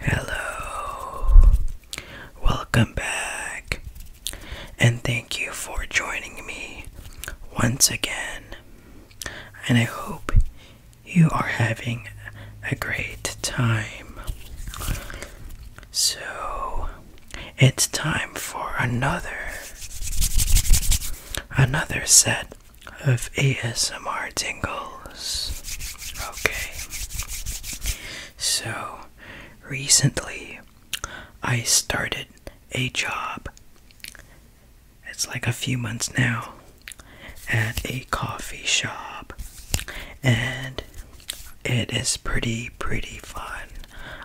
Hello, welcome back, and thank you for joining me once again. And I hope you are having a great time. So, it's time for another another set of ASMR tingles. Okay. So recently I started a job. It's like a few months now at a coffee shop and it is pretty pretty fun.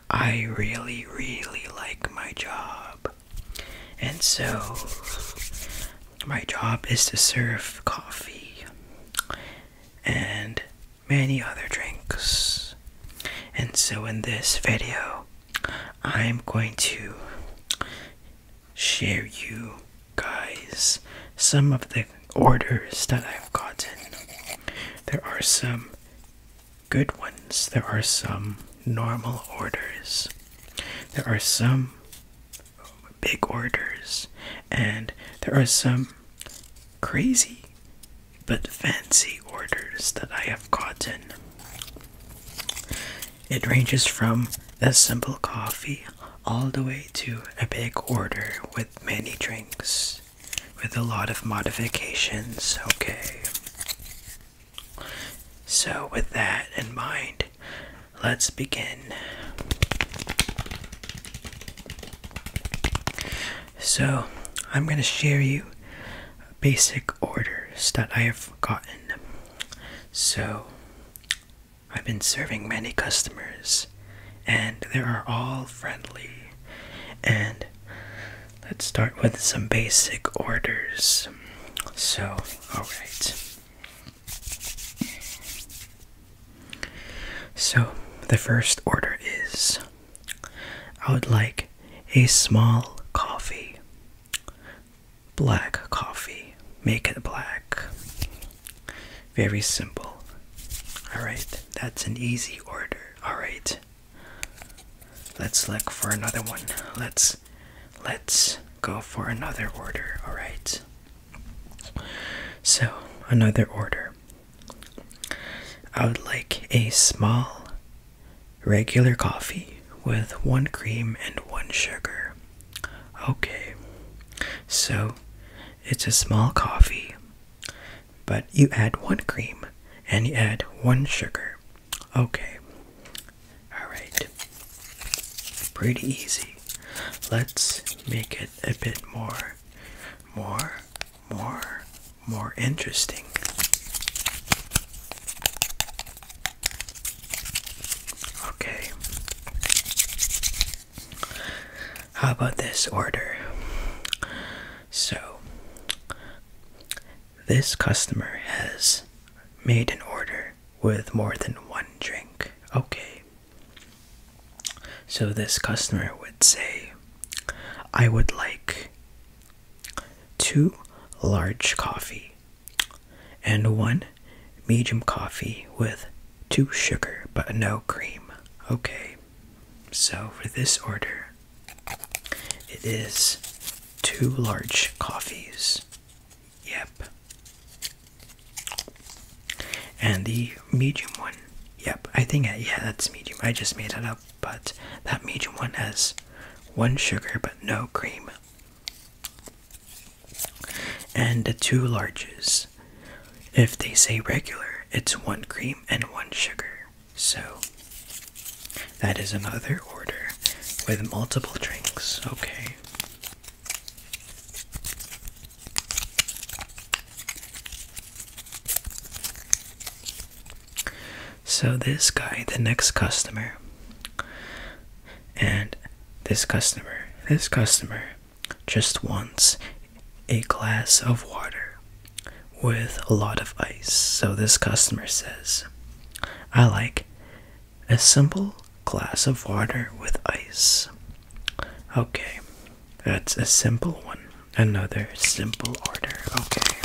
I really, really like my job. And so, my job is to serve coffee and many other drinks. And so, in this video, I'm going to share you guys some of the orders that I've gotten. There are some good ones, there are some normal orders, there are some big orders, and there are some crazy but fancy orders that I have gotten. It ranges from a simple coffee all the way to a big order with many drinks with a lot of modifications. Okay. So, with that in mind, let's begin. So, I'm going to share you basic orders that I have gotten. So, I've been serving many customers, and they are all friendly and Let's start with some basic orders. So, alright. So, the first order is I would like a small coffee. Black coffee. Make it black. Very simple. Alright, that's an easy order. Alright, Let's look for another one. Let's let's go for another order, all right? So, another order. I would like a small regular coffee with one cream and one sugar. Okay. So, it's a small coffee but you add one cream and you add one sugar. Okay. Alright. Pretty easy. Let's make it a bit more, more, more, more interesting. Okay. How about this order? So, this customer has made an order with more than one drink. Okay. So this customer would say, I would like two large coffee and one medium coffee with two sugar but no cream. Okay. So for this order, it is two large coffees. Yep. And the medium one. Yep, I think, yeah, that's medium. I just made it up, but that medium one has one sugar but no cream. And the two larges. If they say regular, it's one cream and one sugar. So, that is another order with multiple drinks, okay. So, this guy, the next customer, and this customer, this customer just wants a glass of water with a lot of ice. So this customer says, I like a simple glass of water with ice. Okay, that's a simple one. Another simple order. Okay.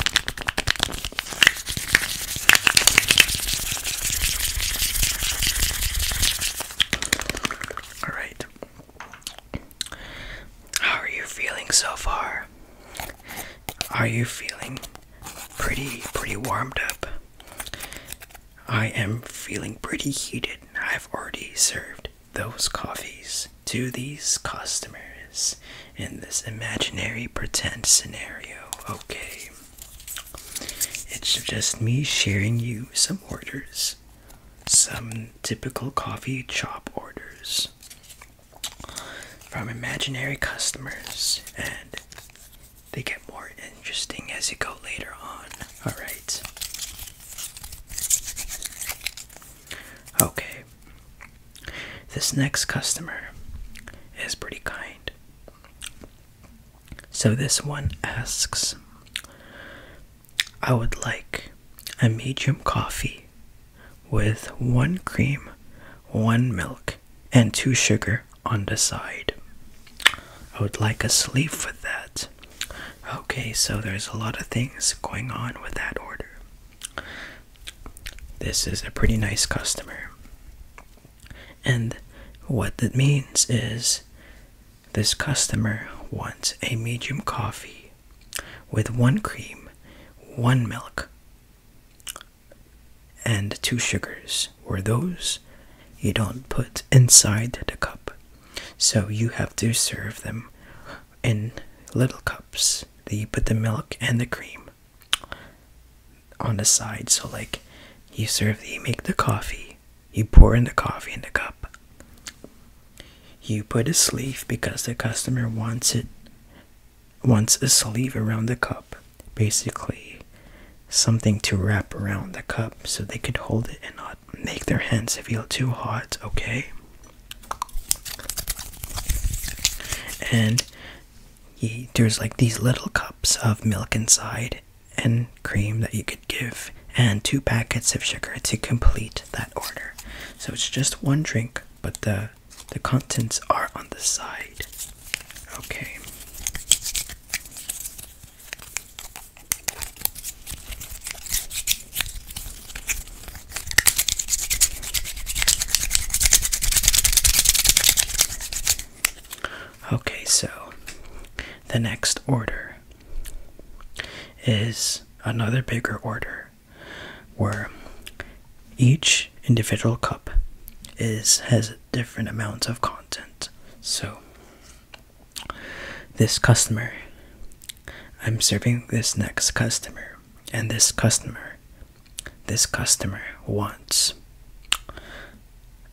Alright. How are you feeling so far? Are you feeling pretty pretty warmed up? I am feeling pretty heated. I've already served those coffees to these customers in this imaginary pretend scenario. Okay. It's just me sharing you some orders. Some typical coffee shop orders from imaginary customers and they get more interesting as you go later on. Alright. Okay. This next customer is pretty kind. So this one asks I would like a medium coffee with one cream, one milk, and two sugar on the side. I would like a sleeve with that. Okay, so there's a lot of things going on with that order. This is a pretty nice customer. And what that means is this customer wants a medium coffee with one cream, one milk, and two sugars were those you don't put inside the cup. So you have to serve them in little cups. You put the milk and the cream on the side. So, like, you serve, you make the coffee, you pour in the coffee in the cup. You put a sleeve because the customer wants it wants a sleeve around the cup, basically something to wrap around the cup so they could hold it and not make their hands feel too hot, okay? And there's like these little cups of milk inside and cream that you could give, and two packets of sugar to complete that order. So it's just one drink, but the the contents are on the side. Okay. Okay, so the next order is another bigger order where each individual cup is has different amounts of content. So this customer I'm serving this next customer and this customer this customer wants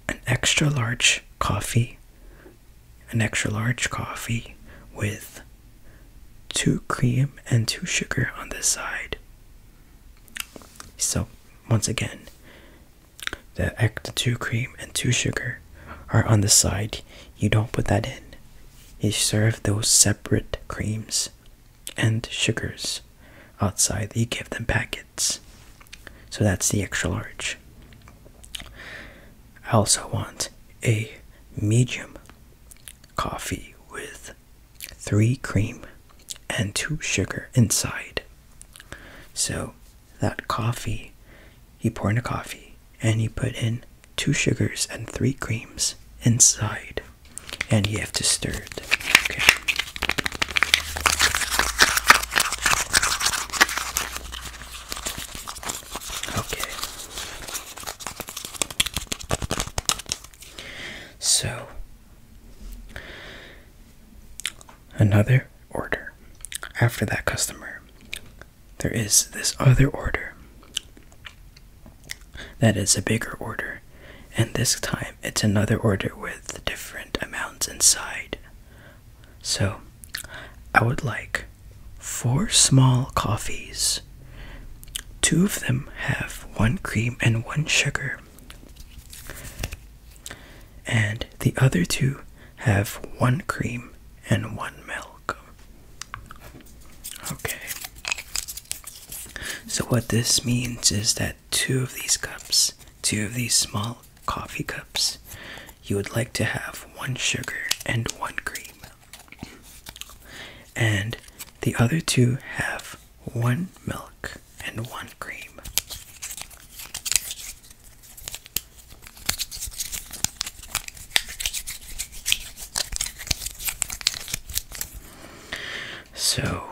an extra large coffee an extra large coffee with two cream and two sugar on this side. So, once again, the extra two cream and two sugar are on the side. You don't put that in. You serve those separate creams and sugars outside. You give them packets. So that's the extra large. I also want a medium coffee with three cream and two sugar inside. So that coffee, he poured in a coffee and he put in two sugars and three creams inside. And you have to stir it. Okay. Okay. So, another order. After that customer, there is this other order that is a bigger order, and this time it's another order with different amounts inside. So, I would like four small coffees. Two of them have one cream and one sugar, and the other two have one cream and one milk. Okay. So, what this means is that two of these cups, two of these small coffee cups, you would like to have one sugar and one cream and the other two have one milk and one cream. So,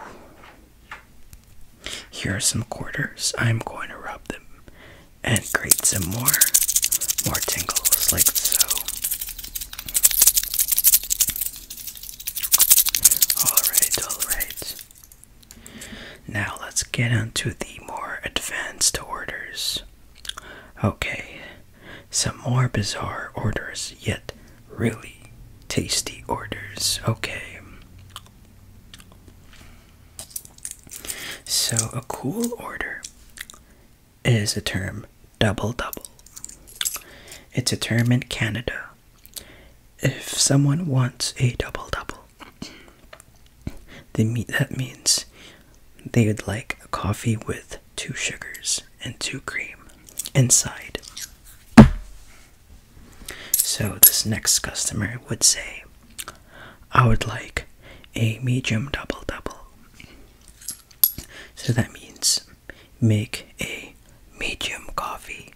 here are some quarters. I'm going to rub them and create some more, more tingles like so. Alright, alright. Now let's get onto the more advanced orders. Okay, some more bizarre orders, yet really tasty orders. Okay. So, a cool order is a term double double. It's a term in Canada. If someone wants a double double, they mean, that means they would like a coffee with two sugars and two cream inside. So this next customer would say, I would like a medium double double. So that means make a medium coffee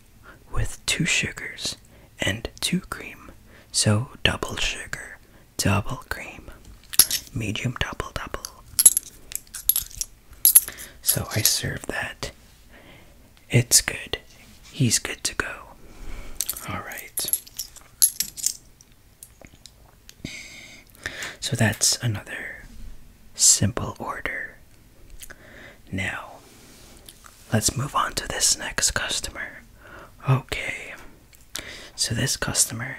with two sugars and two cream. So double sugar, double cream, medium double double. So I serve that. It's good. He's good to go. All right. So that's another simple order. Now, let's move on to this next customer. Okay, so this customer,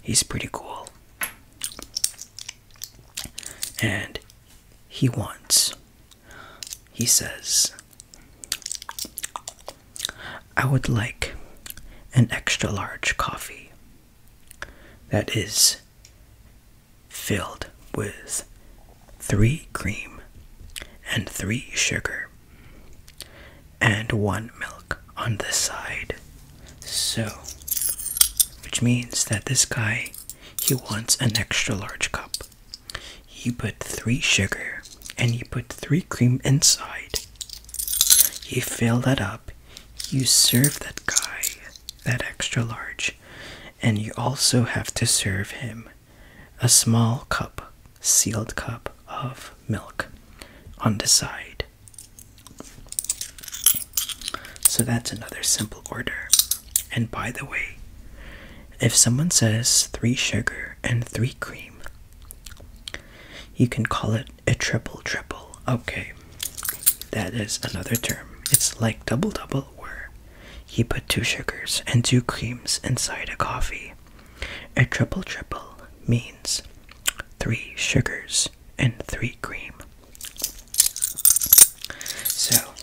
he's pretty cool. And he wants, he says, I would like an extra large coffee that is filled with three cream and three sugar and one milk on the side. So, which means that this guy, he wants an extra large cup. He put three sugar and he put three cream inside you fill that up, you serve that guy that extra large, and you also have to serve him a small cup, sealed cup of milk on the side. So that's another simple order. And by the way, if someone says three sugar and three cream, you can call it a triple triple. Okay, that is another term. It's like double double, where he put two sugars and two creams inside a coffee. A triple triple means three sugars and three cream. So,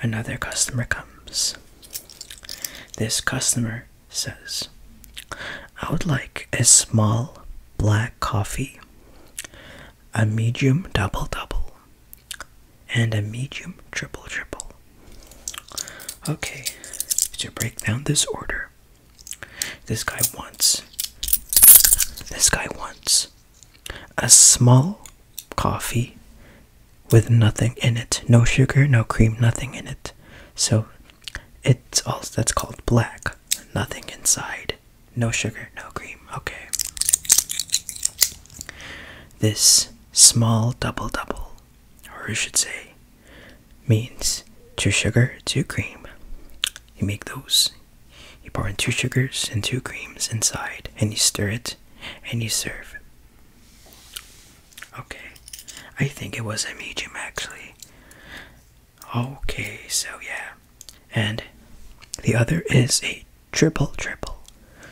another customer comes. This customer says, I would like a small black coffee, a medium double double, and a medium triple triple. Okay, to break down this order, this guy wants, this guy wants a small coffee with nothing in it no sugar, no cream, nothing in it. So it's all that's called black. Nothing inside. No sugar, no cream. Okay. This small double double, or I should say, means two sugar, two cream. You make those. You pour in two sugars and two creams inside, and you stir it, and you serve. Okay, I think it was a medium actually. Okay, so yeah. And the other is a triple triple.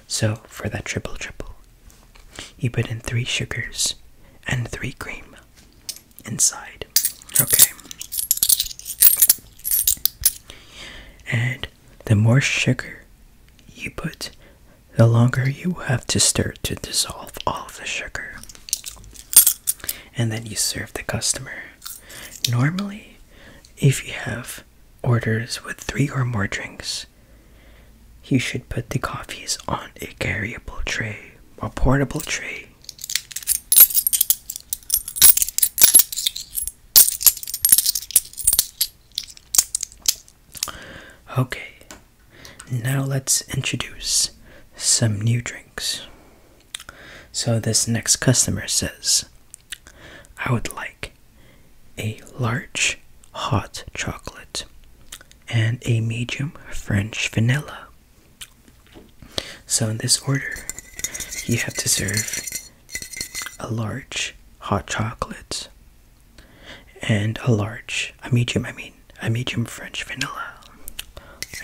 So for that triple triple, you put in three sugars and three cream inside. Okay. And the more sugar you put, the longer you will have to stir to dissolve all the sugar and then you serve the customer. Normally, if you have orders with three or more drinks, you should put the coffees on a carryable tray, or portable tray. Okay, now let's introduce some new drinks. So this next customer says, I would like a large hot chocolate and a medium French vanilla. So in this order, you have to serve a large hot chocolate and a large, a medium, I mean, I need some French vanilla.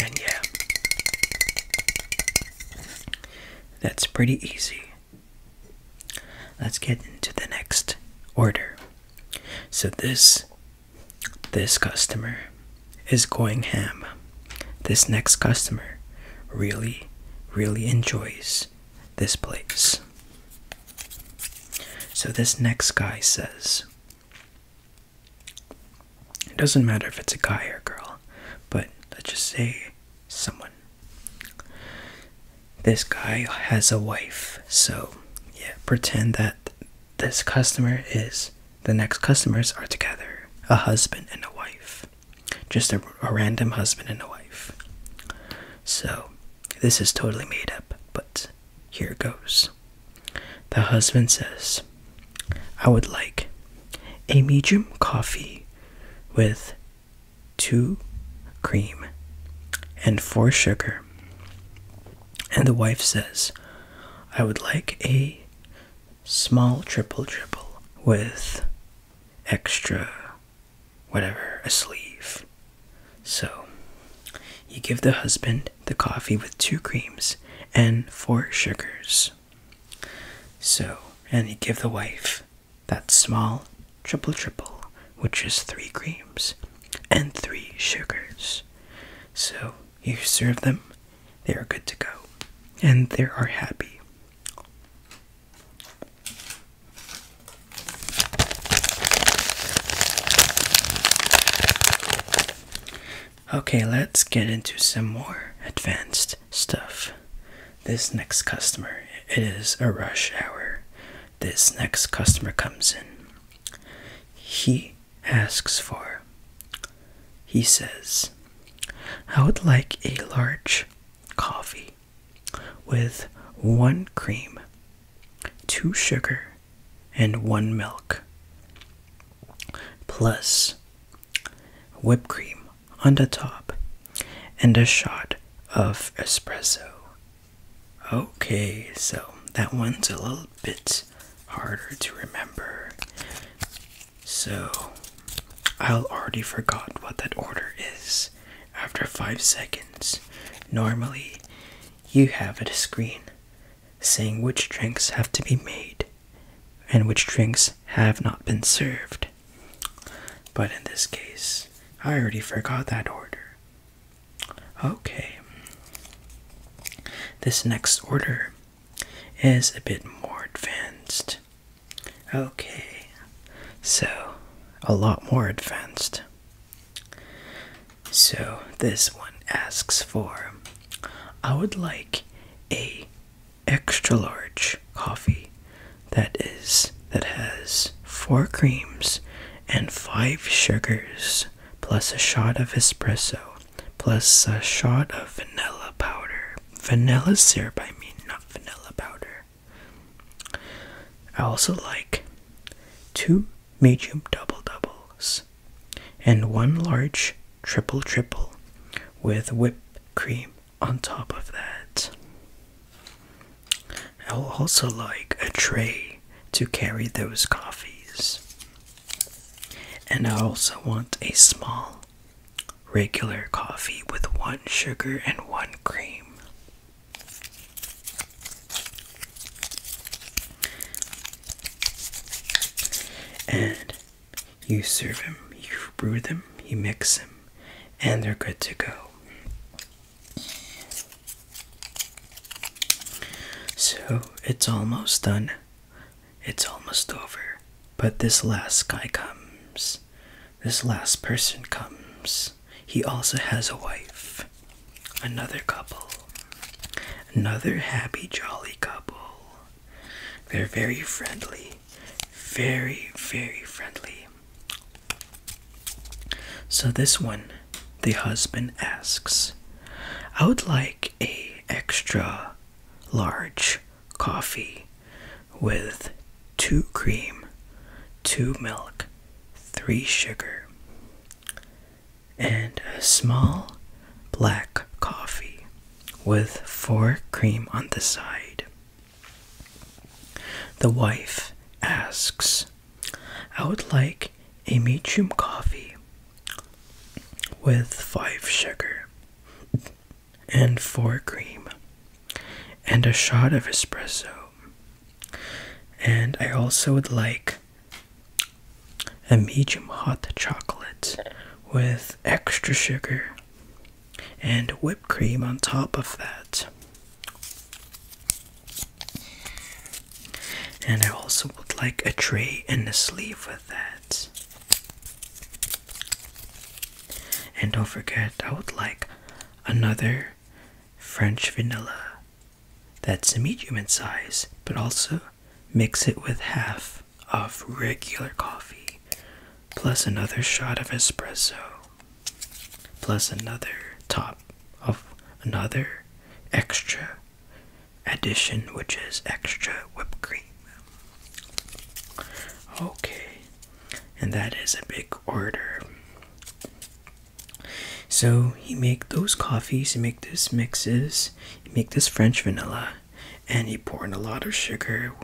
And yeah, that's pretty easy. Let's get into the next order. So this this customer is going ham. This next customer really really enjoys this place. So this next guy says it doesn't matter if it's a guy or girl, but let's just say someone. This guy has a wife, so yeah, pretend that this customer is the next customers are together a husband and a wife, just a, a random husband and a wife. So, this is totally made up, but here goes. The husband says, I would like a medium coffee with two cream and four sugar. And the wife says, I would like a small triple triple with extra whatever, a sleeve. So you give the husband the coffee with two creams and four sugars. So, and you give the wife that small triple triple, which is three creams and three sugars. So, you serve them, they are good to go, and they are happy. Okay, let's get into some more advanced stuff. This next customer, it is a rush hour. This next customer comes in. He asks for, he says, I would like a large coffee with one cream, two sugar, and one milk, plus whipped cream on the top and a shot of espresso. Okay, so that one's a little bit harder to remember. So I'll already forgot what that order is after 5 seconds. Normally you have a screen saying which drinks have to be made and which drinks have not been served. But in this case, I already forgot that order. Okay. This next order is a bit more advanced. Okay. So, a lot more advanced. So this one asks for I would like a extra large coffee that is that has four creams and five sugars plus a shot of espresso plus a shot of vanilla powder vanilla syrup I mean not vanilla powder I also like two medium double doubles, and one large triple triple with whipped cream on top of that. I will also like a tray to carry those coffees. And I also want a small regular coffee with one sugar and one cream. And you serve them, you brew them, you mix them, and they're good to go. So it's almost done. It's almost over. But this last guy comes. This last person comes. He also has a wife another couple, another happy, jolly couple. They're very friendly, very, very friendly. So, this one, the husband asks, I would like a extra large coffee with two cream, two milk, three sugar and a small black coffee with four cream on the side. The wife asks, I would like a medium coffee with five sugar and four cream and a shot of espresso. And I also would like a medium hot chocolate with extra sugar and whipped cream on top of that. And I also would like a tray and a sleeve with that. And don't forget, I would like another French vanilla that's medium in size, but also mix it with half of regular coffee, plus another shot of espresso, plus another top of another extra addition, which is extra whipped cream. Okay, and that is a big order. So you make those coffees, you make those mixes, you make this French vanilla, and you pour in a lot of sugar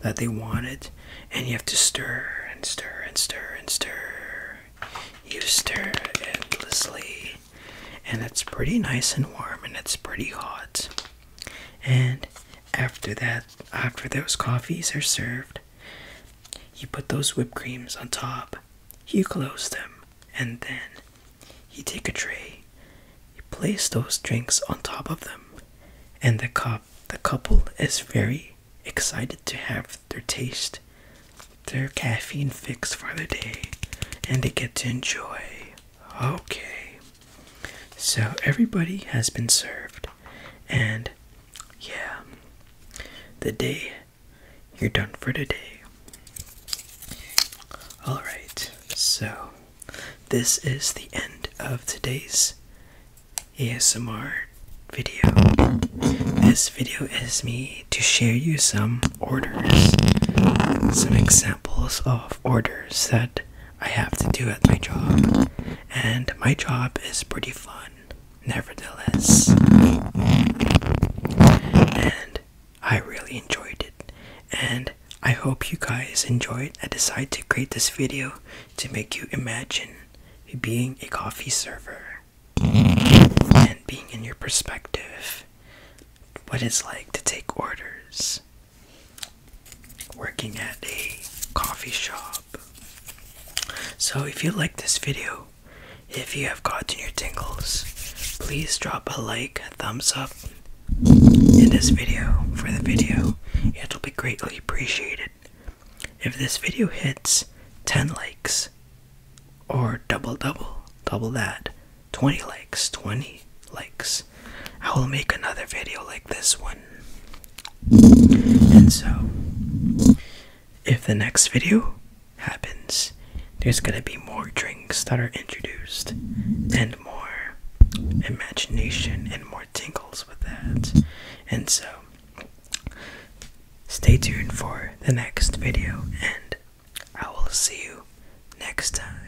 that they wanted, and you have to stir and stir and stir and stir. You stir endlessly, and it's pretty nice and warm, and it's pretty hot. And after that, after those coffees are served, you put those whipped creams on top he closed them, and then he take a tray. He placed those drinks on top of them, and the cop the couple is very excited to have their taste, their caffeine fix for the day, and they get to enjoy. Okay, so everybody has been served, and yeah, the day you're done for today. Alright, so this is the end of today's ASMR video. This video is me to share you some orders, some examples of orders that I have to do at my job. And my job is pretty fun nevertheless. And I really enjoyed it. And I hope you guys enjoyed. I decided to create this video to make you imagine being a coffee server and being in your perspective what it's like to take orders working at a coffee shop. So if you like this video, if you have gotten your tingles, please drop a like, a thumbs up in this video for the video. It will be greatly appreciated. If this video hits 10 likes or double double, double that, 20 likes, 20 likes, I will make another video like this one. And so if the next video happens, there's gonna be more drinks that are introduced and more imagination and more tingles with that. And so, stay tuned for the next video, and I will see you next time.